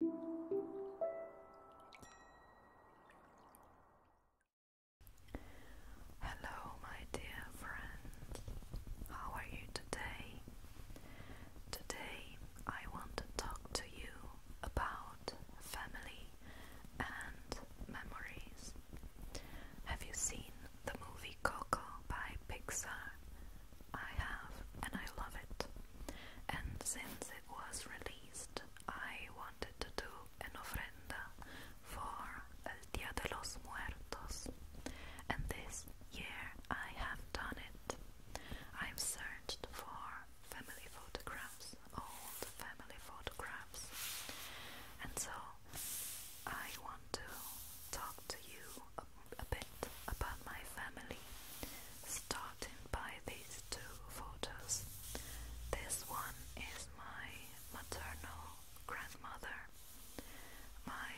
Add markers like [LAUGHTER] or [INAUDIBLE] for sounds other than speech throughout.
Hello, my dear friends. How are you today? Today, I want to talk to you about family and memories. Have you seen the movie Coco by Pixar? I have, and I love it and since it was released, I wanted to do an ofrenda for El Dia de los Muertos, and this year I have done it. I've searched for family photographs, old family photographs, and so I want to talk to you a, bit about my family, starting by these two photos. This one is my maternal grandmother. My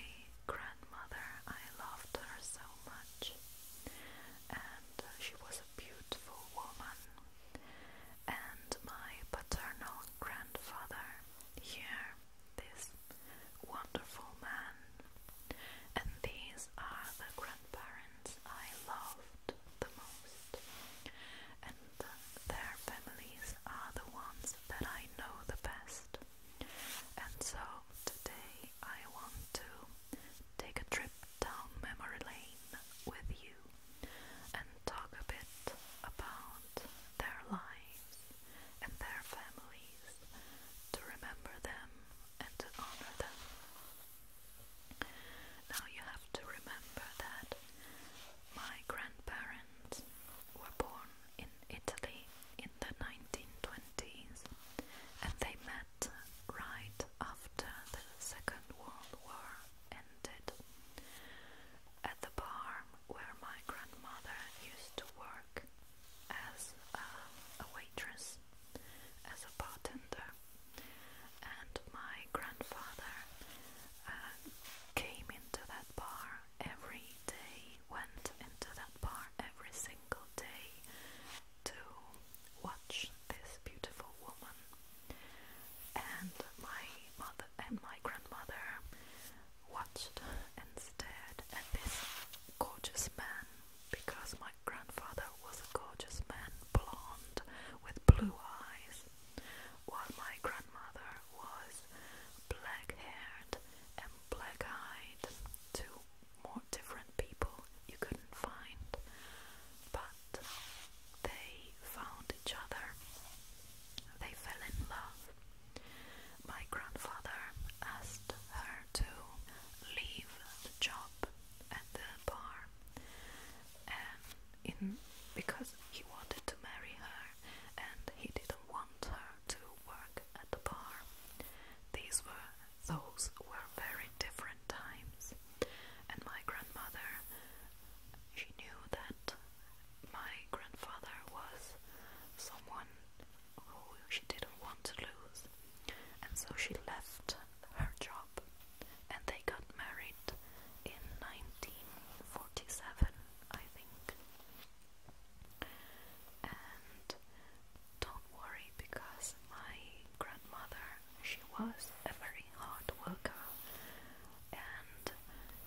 grandmother, I loved her so much, and she was a beautiful woman. And my paternal grandfather here, this wonderful man, and these are the grandparents I loved the most, and their families are the ones that I know the best. And so today I want to take a trip down memory lane with you and talk a bit about their lives and their families to remember them and to honor them. Now you have to remember that my grandparents were born in Italy in the 1920s and they met right after the Second World War ended at the farm where my grandmother used to work as a waitress as a bartender, and my grandfather uh, came into that bar every day, went into that bar every single day to watch this beautiful woman. And my mother and my grandmother watched and stared at this gorgeous man because my grandfather was a gorgeous man, blonde, with blue eyes, while my grandmother was black haired and black eyed. Two more different people you couldn't find, but they found each other. They fell in love. My grandfather asked her to leave the job at the bar, and in because he wanted to marry her, and he didn't want her to work at the bar. These were those were very different times, and my grandmother. She knew that my grandfather was someone who oh, she didn't want to lose, and so she left her job and they got married in 1947, I think. And don't worry, because my grandmother, she was a very hard worker, and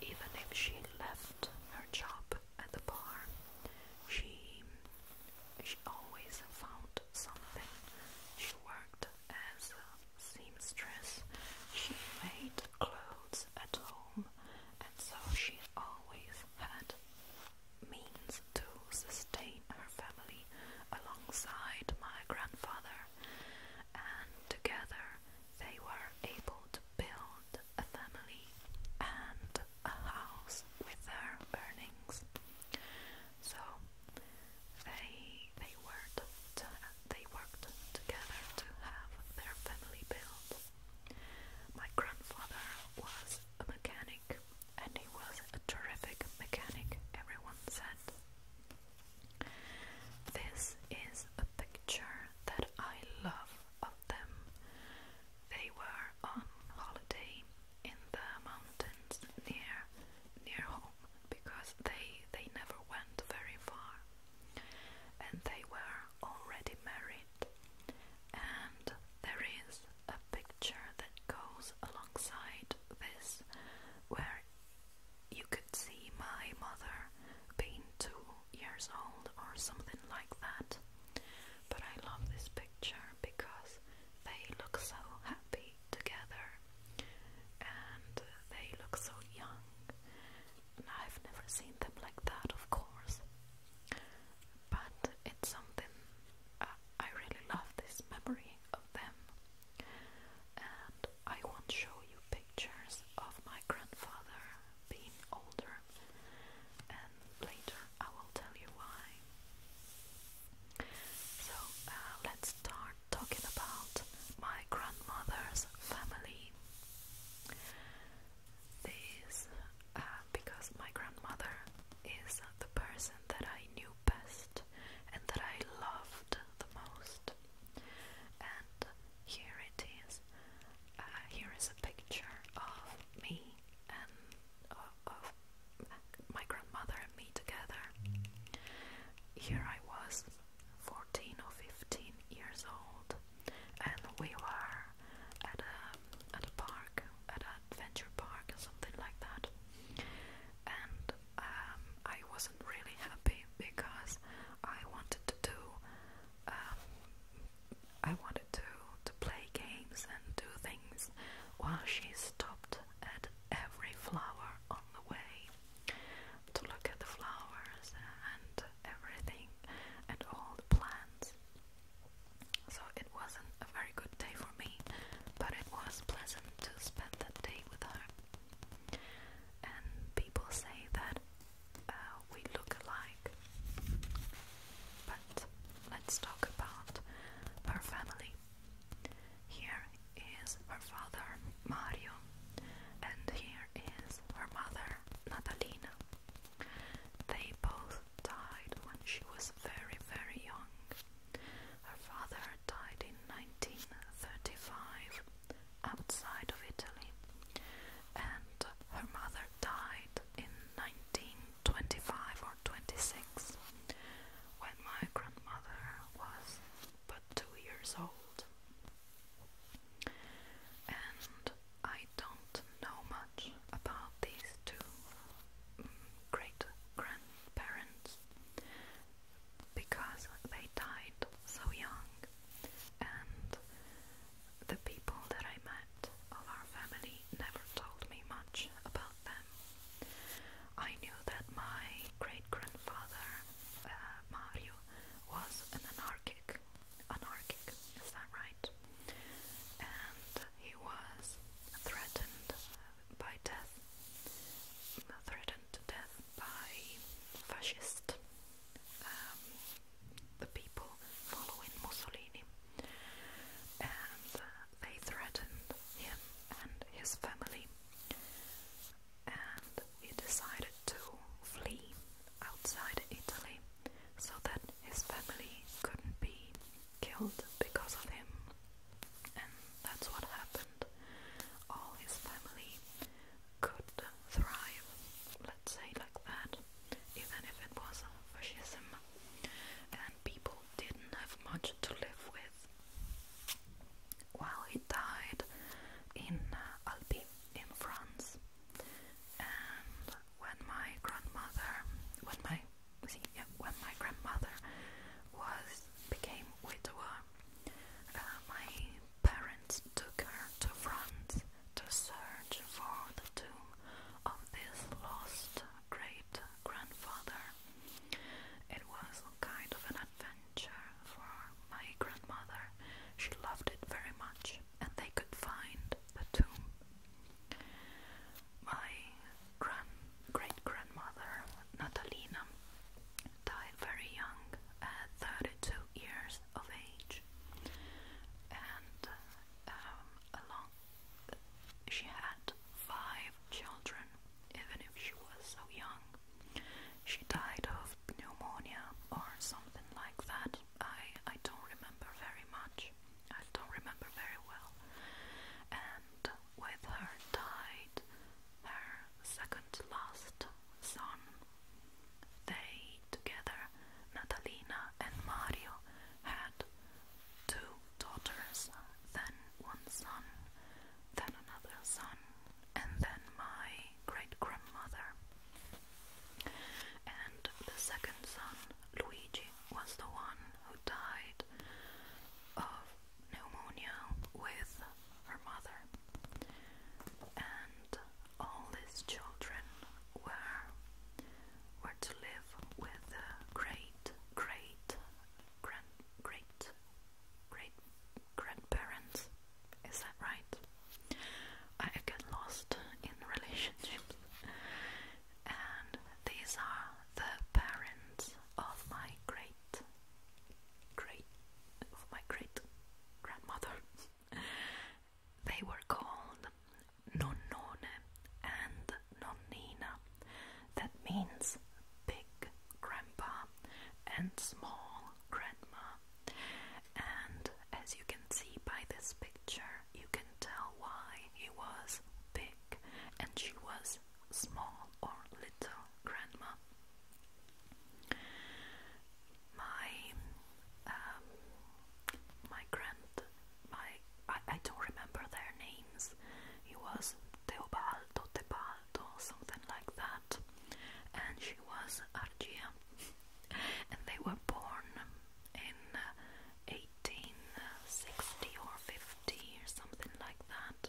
even if she left her job, at the bar, she she always found something. She worked as a seamstress. She made clothes at home, and so she always had means to sustain her family alongside my grandfather, and together they were able to build a family and a house with their earnings. So they they worked they worked together to have their family built. My grandfather was a mechanic and he was a terrific mechanic, everyone said. This is a picture that I love of them. They were on holiday in the mountains near near home because they they never went very far and they were already married and there is a picture that goes alongside this where you could see my mother being two years old or something like that. But I love this picture because they look so happy together and they look so young. And I've never seen them like that, of course. But it's something uh, I really love this memory of them. And I won't show you pictures of my grandfather being older and later I will tell you why. So uh, let's start talking about my grandmother's family. This uh, because my grandmother is the person that I knew best and that I loved the most. And here it is. Uh, here is a picture of me and of my grandmother and me together. Here I was, 14 or 15 years old, and we were at a, at a park, at an adventure park or something like that. And um, I wasn't really happy because I wanted to do um, I wanted to to play games and do things while she stopped at every flower on the way to look at the flowers and everything and all the plants. So it wasn't a very good day for me, but it was pleasant to spend that day with her. And people say that uh, we look alike. But let's talk about her family. Here is her father, Mario, and here is her mother, Natalina. They both died when she was very, very young. Her father died in 1935 outside of Italy, and her mother died in 19 25 or 26 when my grandmother was but two years old. And I don't know much about these two mm, great grandparents because they died so young the people that I met of our family never told me much about them. I knew that my great grandfather, uh, Mario, was an anarchic. Anarchic, is that right? And he was threatened by death, threatened to death by fascist um, the people following Mussolini, and uh, they threatened him and his family, and he decided to flee outside Italy so that his family couldn't be killed because of him, and that's what happened. All his family could thrive, let's say like that even if it was a fascism, and people didn't have much to live with. While he died in uh, Albi in France, and when my grandmother, when my see, yeah, when my grandmother was became widower, uh, my parents took her to France to search for the tomb of this lost great grandfather. It was kind of an adventure for my grandmother. She loved it very much, and they could find the tomb. My great grandmother, Natalina, died very young at 32 years of age, and um, along, she had five children, even if she was so young. She died of pneumonia or something like that. I I don't remember very much. I don't remember very well. And with her died her second last son. They together, Natalina and Mario had two daughters, then one son, then another son, and then my great grandmother. And the second son, Luigi, was the one who died of pneumonia with her mother. And all these children were were to live with a great great grand great great grandparents. Is that right? I get lost in relationships. And these are the parents of my great great of my great grandmother. They were called Nonnone and Nonnina, that means big grandpa and small grandma. And as you can see by this picture, you can tell why he was big and she was small or little grandma my um, my grand my I, I don't remember their names. He was Teobaldo, Tebaldo, something like that, and she was Argia, [LAUGHS] and they were born in 1860 uh, or 50 or something like that.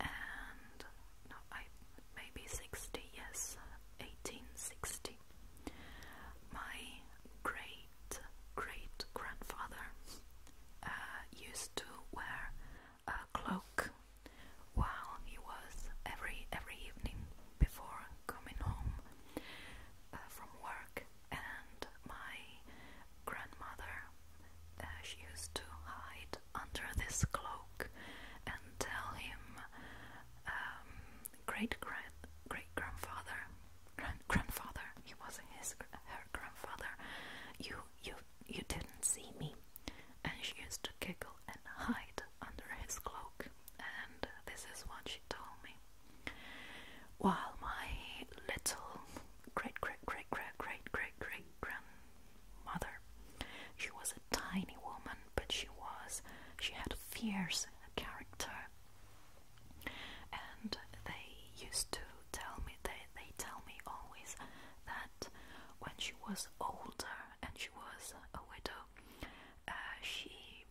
And no, I maybe 60, yes, 1860. My great great grandfather uh, used to wear a cloak while he was every every evening before coming home uh, from work, and my grandmother uh, she used to hide under this cloak and tell him um, great grand great grandfather grandfather he was not his her grandfather you you you didn't see me and she used to giggle and hide under his cloak and this is what she told me while my little great great great great great great grandmother she was tiny woman, but she was. She had a fierce character. And they used to tell me, they, they tell me always that when she was older and she was a widow, uh, she,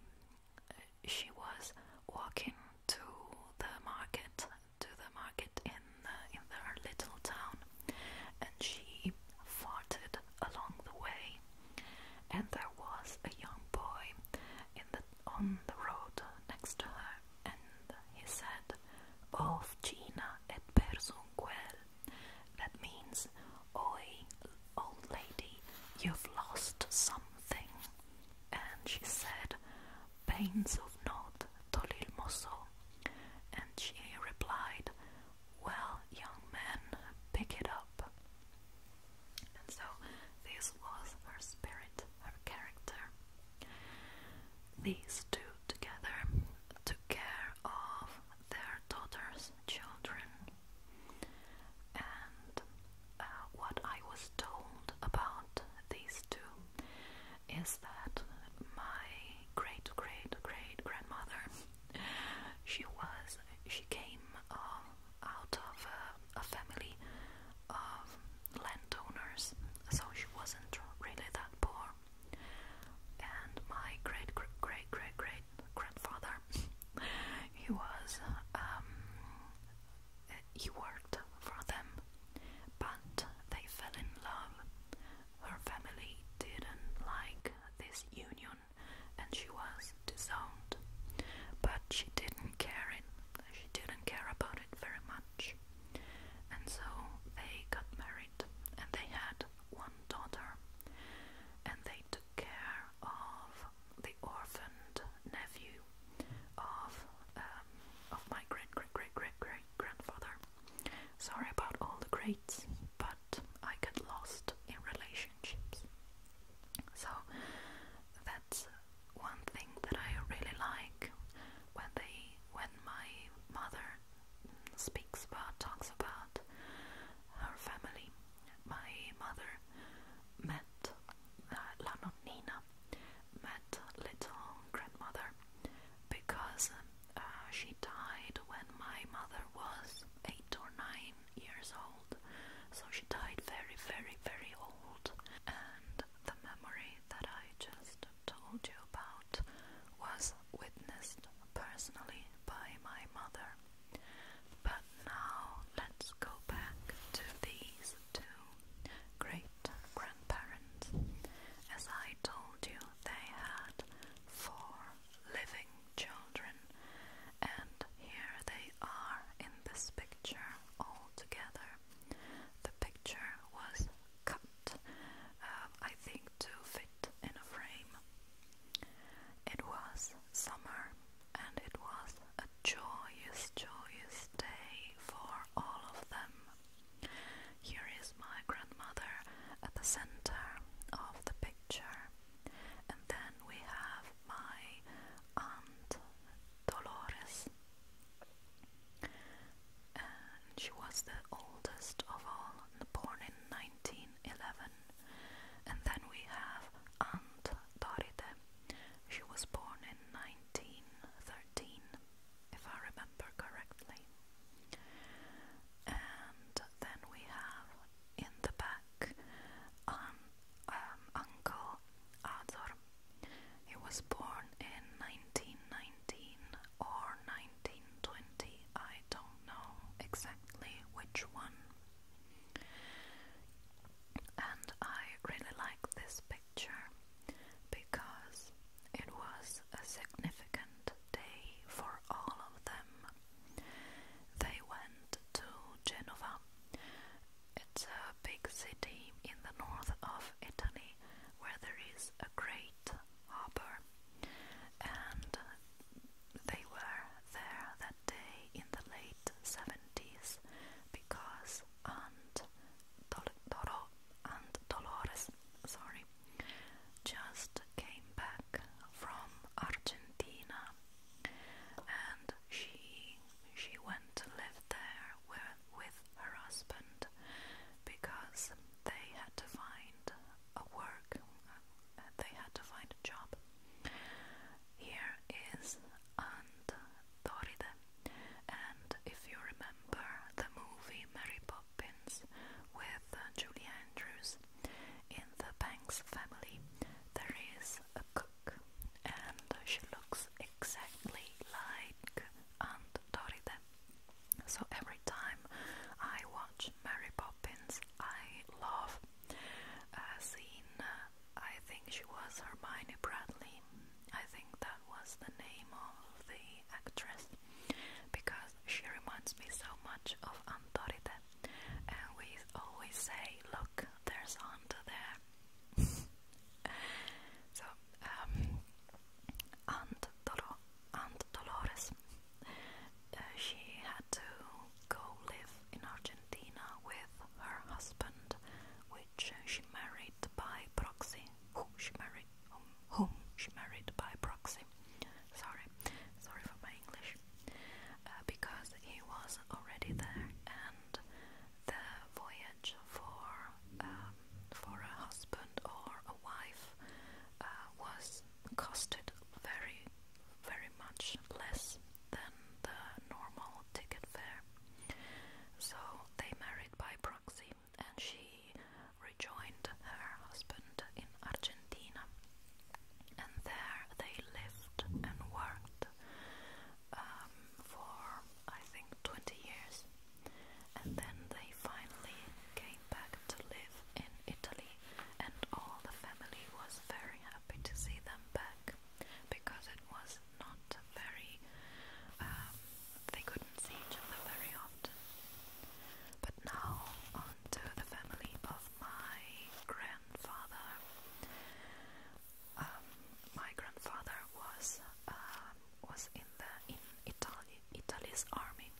uh, she was walking to the market, to the market in, uh, in their little town and she farted along the way, and there was a young boy in the on the road next to her, and he said, Ofcina e perso un quel. That means, Oi, old lady, you've lost something. And she said, Pains of not tolil mosso. And she replied, well, young men, pick it up. And so this was her spirit, her character. These two together took care of their daughter's children. And uh, what I was told about these two is that my great great great grandmother she was she came uh, out of uh, a family of landowners, so she wasn't really that poor. And my great great great great great grandfather, he was um, he worked for them, but they fell in love. Her family didn't like this union and she was disowned. But she didn't care it she didn't care about it very much. And so they got married and they had one daughter and they took care of the orphaned nephew of um, of my great great great great grandfather Sorry about all the grades, but I get lost in relationships. So that's one thing that I really like when they when my mother speaks about talks about her family. My mother met uh, La met little grandmother because um, uh, she died when my mother was eight or nine years old, so she died very, very, very old. And the memory that I just told you about was witnessed personally by my mother. But now let's go back to these two great grandparents. As I told you, they had four living children, and here they are in this picture all together. The picture was cut, um, I think, to fit in a frame. It was summer, and it was a joyous, joyous day for all of them. Here is my grandmother at the center of the picture. And then we have my aunt Dolores. she was the oldest of all, born in 1911. And then we have Aunt Dorite. She was born in 1913, if I remember correctly. And then we have in the back um, um uncle Ador. He was born in 1919 or 1920, I don't know exactly which one. And I really like this picture because it was a significant day for all of them. They went to Genova. It's a big city in the north of Italy where there is a great harbour, and they were there that day in the late 70s because Aunt Doro, Aunt Dolores, sorry, just came back from Argentina and she she went to live there where, with her husband because they had to find a work they had to find a job. Here is Aunt Doride and if you remember the movie Mary Poppins Poppins with uh, Julie Andrews. In the Banks family, there is a cook, and she looks exactly like Aunt Dorita. So every time I watch Mary Poppins, I love a uh, scene. Uh, I think she was Hermione Bradley. I think that was the name of the actress because she reminds me so much of Antorite and we always say, look, there's Anta there. [LAUGHS] so, um, Dolores, uh, she had to go live in Argentina with her husband, which she married by proxy, who she married whom, whom she married by proxy. Sorry, sorry for my English. Uh, because he was already there, and the voyage for um, for a husband or a wife uh, was costed very, very much less than the normal ticket fare. So they married by proxy, and she rejoined her husband in Argentina. And there they lived and worked um, for I think 20 years. And then they finally came back to live in Italy, and all the family was very happy to see them back because it was not very, um, they couldn't see each other very often. But now, on the family of my grandfather. Um, my grandfather was um, was in the in Italy Italy's army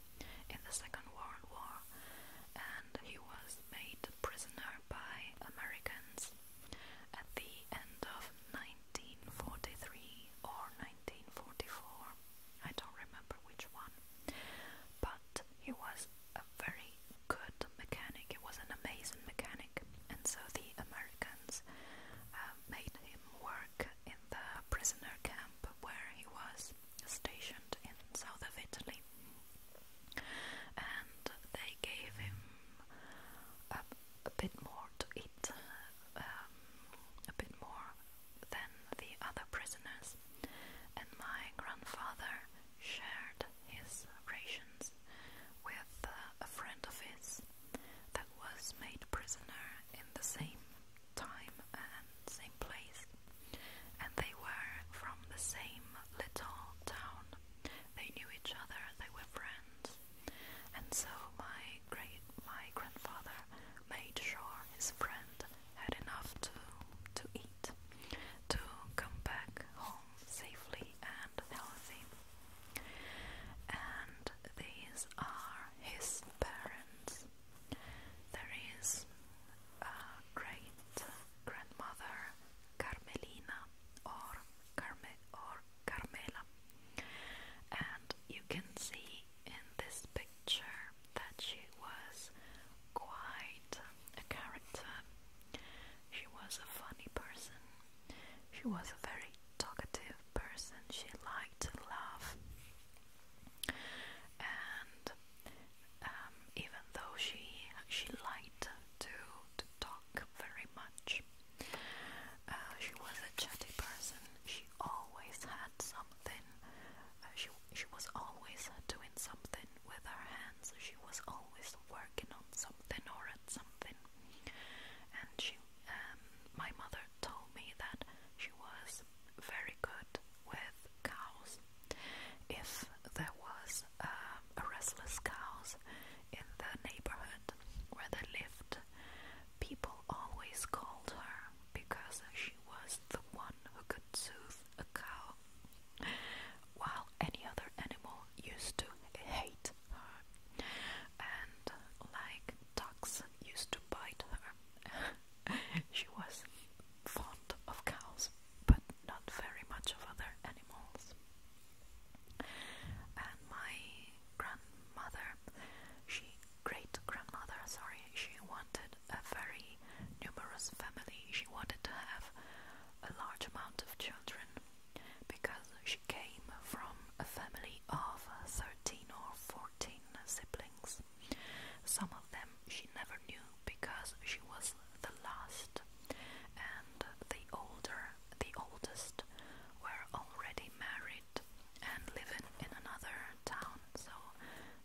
in the Second World War, and he was made prisoner by Americans at the end of 1943 or 1944, I don't remember which one, but he was a very good mechanic, he was an amazing mechanic, and so the Americans uh, made him work in the prisoner camp where he was stationed in south of Italy, and they gave him a, bit more to eat, um, a bit more than the other prisoners, and my grandfather shared his rations with uh, a friend of his that was made prisoner in the same time and same place, and they were from the same little town. They knew each other, they were friends, and so my great my grandfather made sure his friend had enough to to eat to come back home safely and healthy. And these are his parents. There is a great grandmother Carmelina or Carme or Carmela. And you can see in this picture that she was quite a character. She was a funny person. She was a very talkative person. She liked to laugh. And um, even though she she liked to to talk very much, uh, she was a chatty person. She always had some something. Uh, she she was always uh, doing something with her hands. She was always working on something or at something. And she, um, my mother told me that she was very good with cows. If there was um, a restless cows in the neighborhood where they lived, people always called her because she was the one who could soothe a cow, while any other animal used to hate her, and like ducks used to bite her. [LAUGHS] she was fond of cows, but not very much of other animals. And my grandmother, she great grandmother, sorry, she wanted a very numerous family. She wanted to have a large amount of children because she came from a family of 13 or 14 siblings. Some of them she never knew because she was the last, and the older, the oldest, were already married married and living in another town, so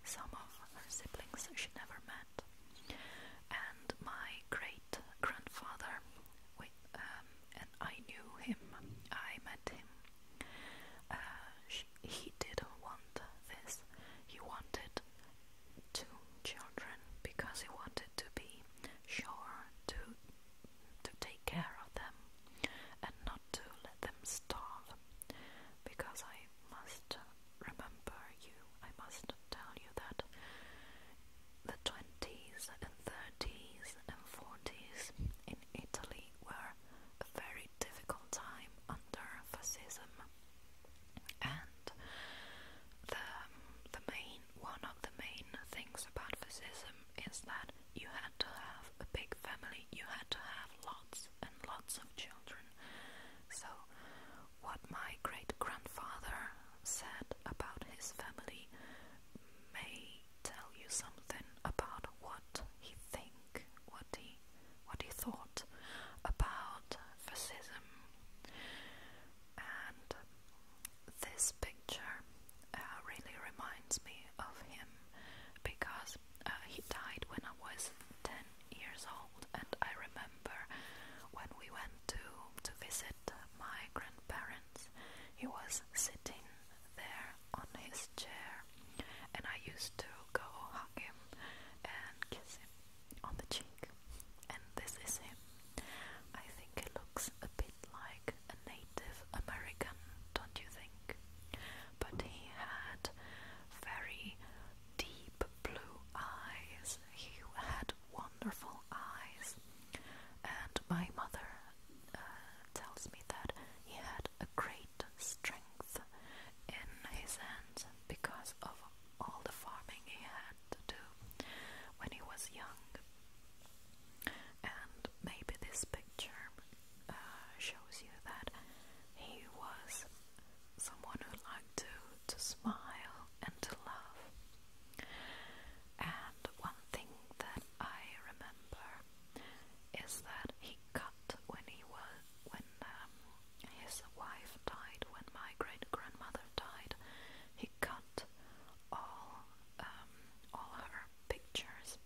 some of her siblings she never met. And my great grandfather, with, um, and I knew him, I met him. Uh, she, he didn't want this, he wanted two children because he wanted to be sure to to take care of them and not to let them starve because I must remember you, I must tell you that the 20s and 30s and 40s in Italy were a very difficult time under fascism and the um, the main one of the main things about fascism is that you had to have a big family, you had to have lots and lots of children. So, what my great grandfather said about his family may tell you something about what he think, what he what he thought about fascism. And this picture uh, really reminds me of him because uh, he died when I was 10 years old, and I remember when we went to, to visit uh, my grandparents, he was sitting there on his chair, and I used to go hug him and kiss him on the cheek. And this is him. I think he looks a bit like a Native American, don't you think? But he had very deep blue eyes. He had wonderful eyes. And my mother uh, tells me that he had a great strength in his hands because of all the farming he had to do when he was young. And maybe this picture uh, shows you that he was someone who liked to to smile and to love. And one thing that I remember is that he cut when he was when um, his wife died, when my great grandmother died, he cut all um, all her pictures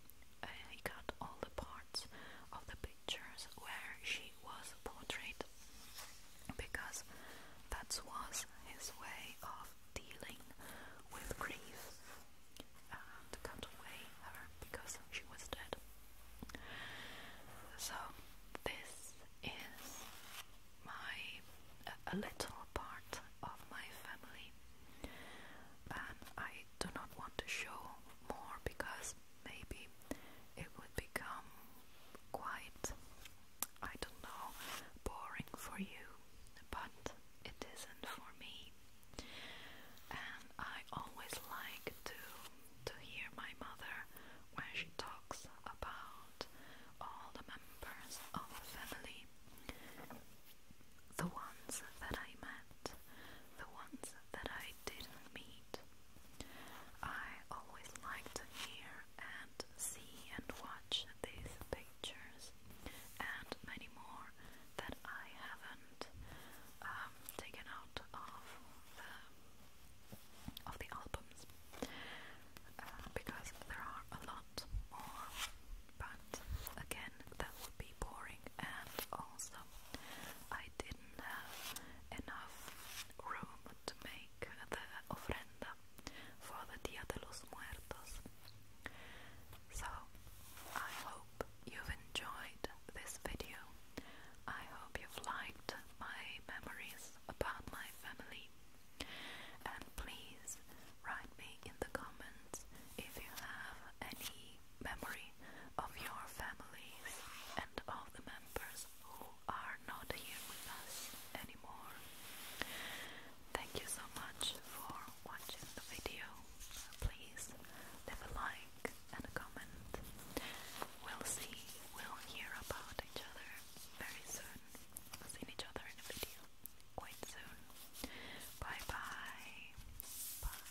he got all the parts of the pictures where she was portrayed because that was his way of dealing with grief uh, to cut away her because she was dead. So this is my a little part of my family, and I do not want to show more because maybe it would become quite, I don't know, boring for you, but it isn't for me. And I always like to to hear my mother when she talks about all the members of the family the ones that I met, the ones that I didn't meet. I always like to hear and see and watch these pictures and many more that I haven't um, taken out of of the albums uh, because there are a lot but again, that would be boring, and also I didn't have enough room to make the ofrenda for the Dia de los Muertos. So, I hope you've enjoyed this video. I hope you've liked my memories about my family. And please write me in the comments if you have any memory of your families and of the members who are not here with us anymore. Thank you so much for watching the video. Please leave a like and a comment. We'll see, we'll hear about each other very soon. We'll see each other in a video quite soon. Bye bye. Bye.